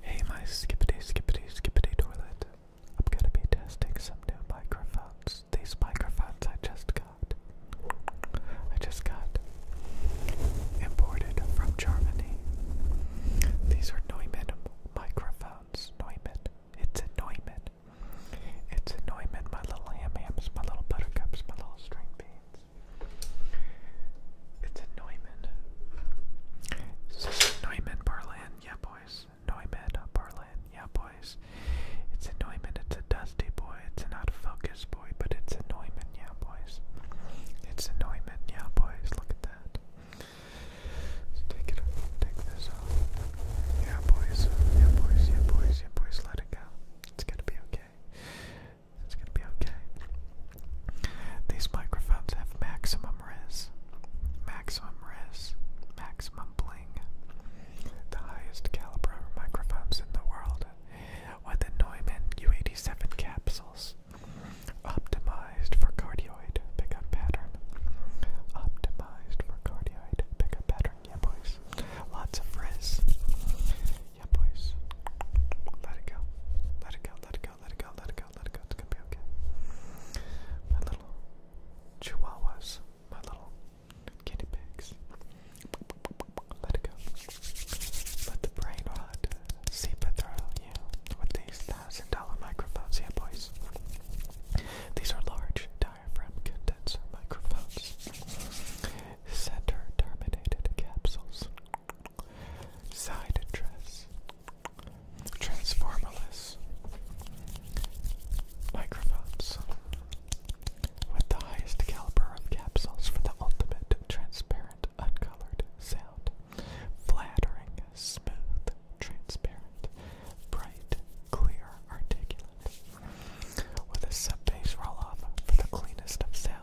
Hey my skippity skippity skippity toilet. I'm gonna be testing some new microphones. These microphones I just got. I just got imported from Germany. These are Neumann microphones. Neumann. It's a Neumann. It's a Neumann, my little ham hams, my little buttercups, my little string beans. It's a It's a Neumann yeah boys. Neumann Barland, yeah boys. It's a it's a dusty boy, it's an out of focus boy, but it's a yeah boys. It's a yeah boys, look at that. take it off, take this off. Yeah boys, yeah boys, yeah boys, yeah boys, let it go. It's gonna be okay. It's gonna be okay. These microphones have maximum res, maximum res, maximum bling. The highest caliber microphones in the world with the Neumann U87 capsules. Optimized for cardioid pickup pattern. Optimized for cardioid pickup pattern, yeah boys. Lots of frizz. Yeah, boys. Let it go. Let it go. Let it go. Let it go. Let it go. Let it go. It's gonna be okay. My little chihuahuas. My little guinea pigs. Let it go. Let the brain rot seep through you with these thousand dollar microphones. Yeah, boys. These are large diaphragm condenser microphones. Center terminated capsules Side address. Transformerless. Microphones. With the highest caliber of capsules for the ultimate transparent, uncolored sound. Flattering, smooth, transparent, bright, clear, articulate. With a sub bass roll off for the cleanest of sound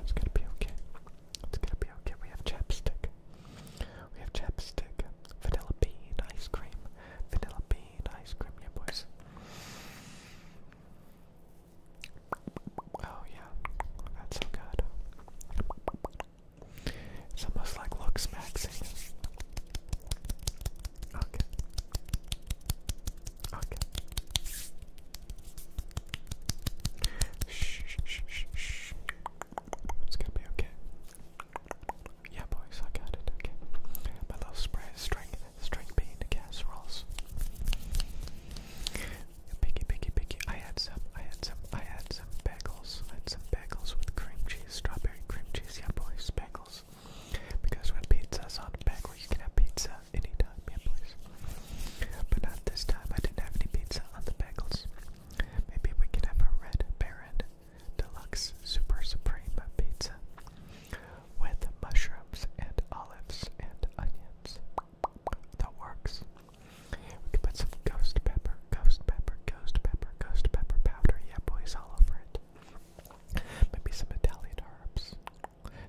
It's gonna be okay. It's gonna be okay. We have chapstick. We have chapstick, vanilla bean ice cream, vanilla bean ice cream, yeah, boys. Oh yeah, that's so good. It's almost like looks Okay. Okay. Shh, shh, shh, shh, It's gonna be okay. Yeah, boys, I got it. Okay. My little spray is string, string bean casseroles. Piggy, piggy, piggy. I had some, I had some, I had some bagels. I had some bagels with cream cheese, strawberry cream cheese. Yeah, boys, bagels. Because when pizza's on bagel, you can have pizza anytime. Yeah, boys. But not this time, I didn't have any pizza on the bagels. Maybe we could have a Red Baron Deluxe Super Supreme Pizza with mushrooms and olives and onions. That works. We could put some ghost pepper, ghost pepper, ghost pepper, ghost pepper powder, yeah boys, all over it. Maybe some Italian herbs.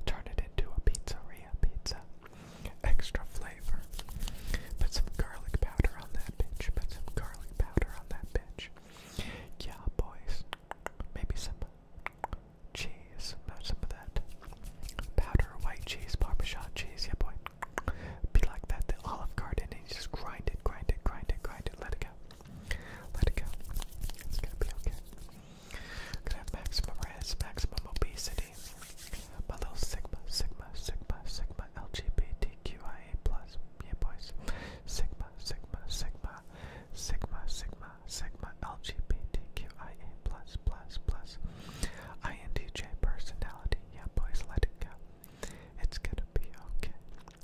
Turn it into a pizzeria pizza extra flavor. Put some garlic powder on that bitch. Put some garlic powder on that bitch. Yeah, boys. Maybe some cheese. Not some of that powder, white cheese, parmesan cheese. Yeah, boy. Be like that, the Olive Garden, and you just grind it, grind it, grind it, grind it. Let it go. Let it go. It's gonna be okay. Gonna have maximum res, maximum obesity community. Below Sigma, Sigma, Sigma, Sigma, LGBTQIA plus, yeah boys. Sigma, Sigma, Sigma, Sigma, Sigma, Sigma, LGBTQIA plus, plus, plus. INTJ personality, yeah boys, let it go. It's gonna be okay.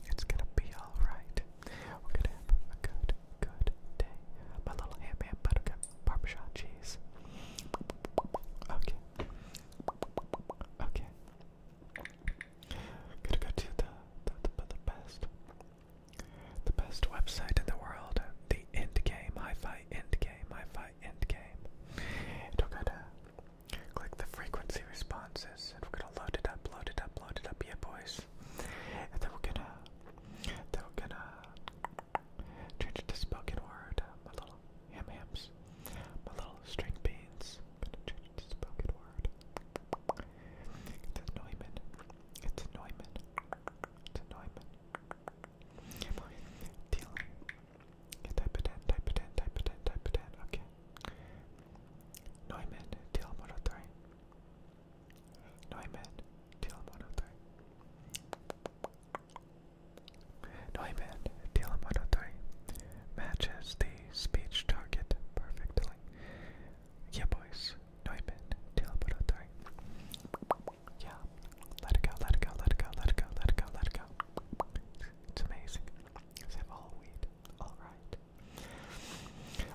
It's gonna be alright. We're gonna have a good, good day. My little hand man buttercup. Parmesan cheese. Okay. Okay. Gonna go to the, the, the, the best. The best website in the world. The end Hi fi end Hi fi end we're gonna click the frequency responses we're gonna load it up, load it up, load it up, yeah boys. And then we're gonna then we're gonna change it to spoken word. Uh, my little ham hams, my little string beans. I'm gonna change it to spoken word. It's a Neumann. It's a Neumann. It's a Neumann. Dealing. Yeah, type it in, type it in, type it in, type it in. Okay. Neumann, deal number three. Neumann, Tell him another. matches the speech target perfectly. Yeah, boys. Neumann Telemonotory. Yeah. Let it go, let it go, let it go, let it go, let it go, let it go. It's amazing. Except all weed. Alright.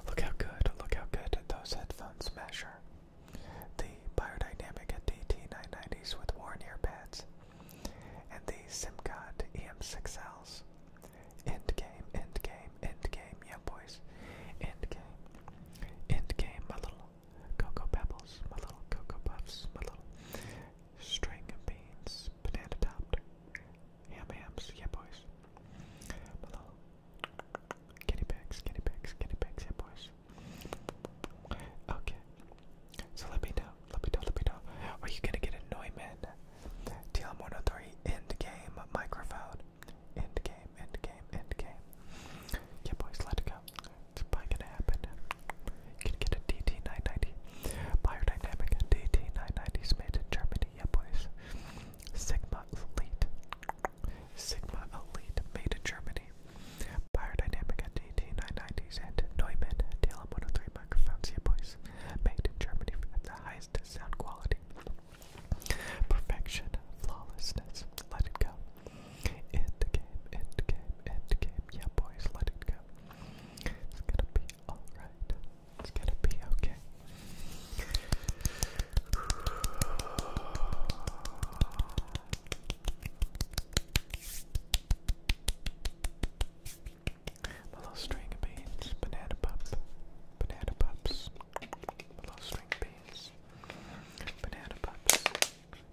Look how good, look how good those headphones measure the Biodynamic DT990s with worn ear pads, and the Simcod EM6Ls. End game, end game, end game, yeah boys. End game, end game, my little Cocoa Pebbles, my little Cocoa Puffs, my little string of beans, banana topped, ham hams, yeah boys. My little Kitty bags, kitty bags, kitty bags, yeah boys. Okay. So let me know, let me know, let me know. Are you gonna get a Neumann TLM103 end game microphone? End game, end game, end game. Yeah boys, let it go. It's probably gonna happen. You can get a DT990. Biodynamic DT990 is made in Germany, yeah boys. Sigma Elite. Sigma Elite made in Germany. Biodynamic NT990s and Neumann TLM103 microphones, yeah boys, made in Germany at the highest sound quality. Perfection, flawlessness, let it go. In the game, in the game, yeah boys, let it go. It's gonna be alright. It's gonna be okay. A little string of beans, banana pup, banana pups, my little string of beans, banana pups,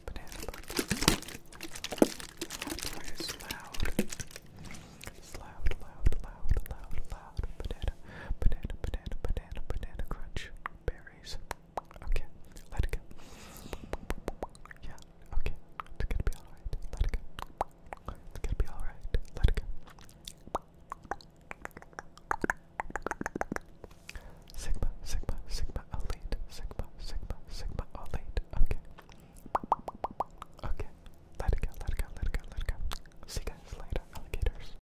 banana pups. Sorry, loud. loud, loud, loud, loud, loud. Banana, banana, banana, banana, banana crunch berries. Okay, let it go. Yeah, okay, it's gonna be alright. Let it go. It's gonna be alright. Let it go. Sigma, Sigma, Sigma, elite. Sigma, Sigma, Sigma, elite. Okay. Okay. Let it go, let it go, let it go, let it go. See you guys later, alligators.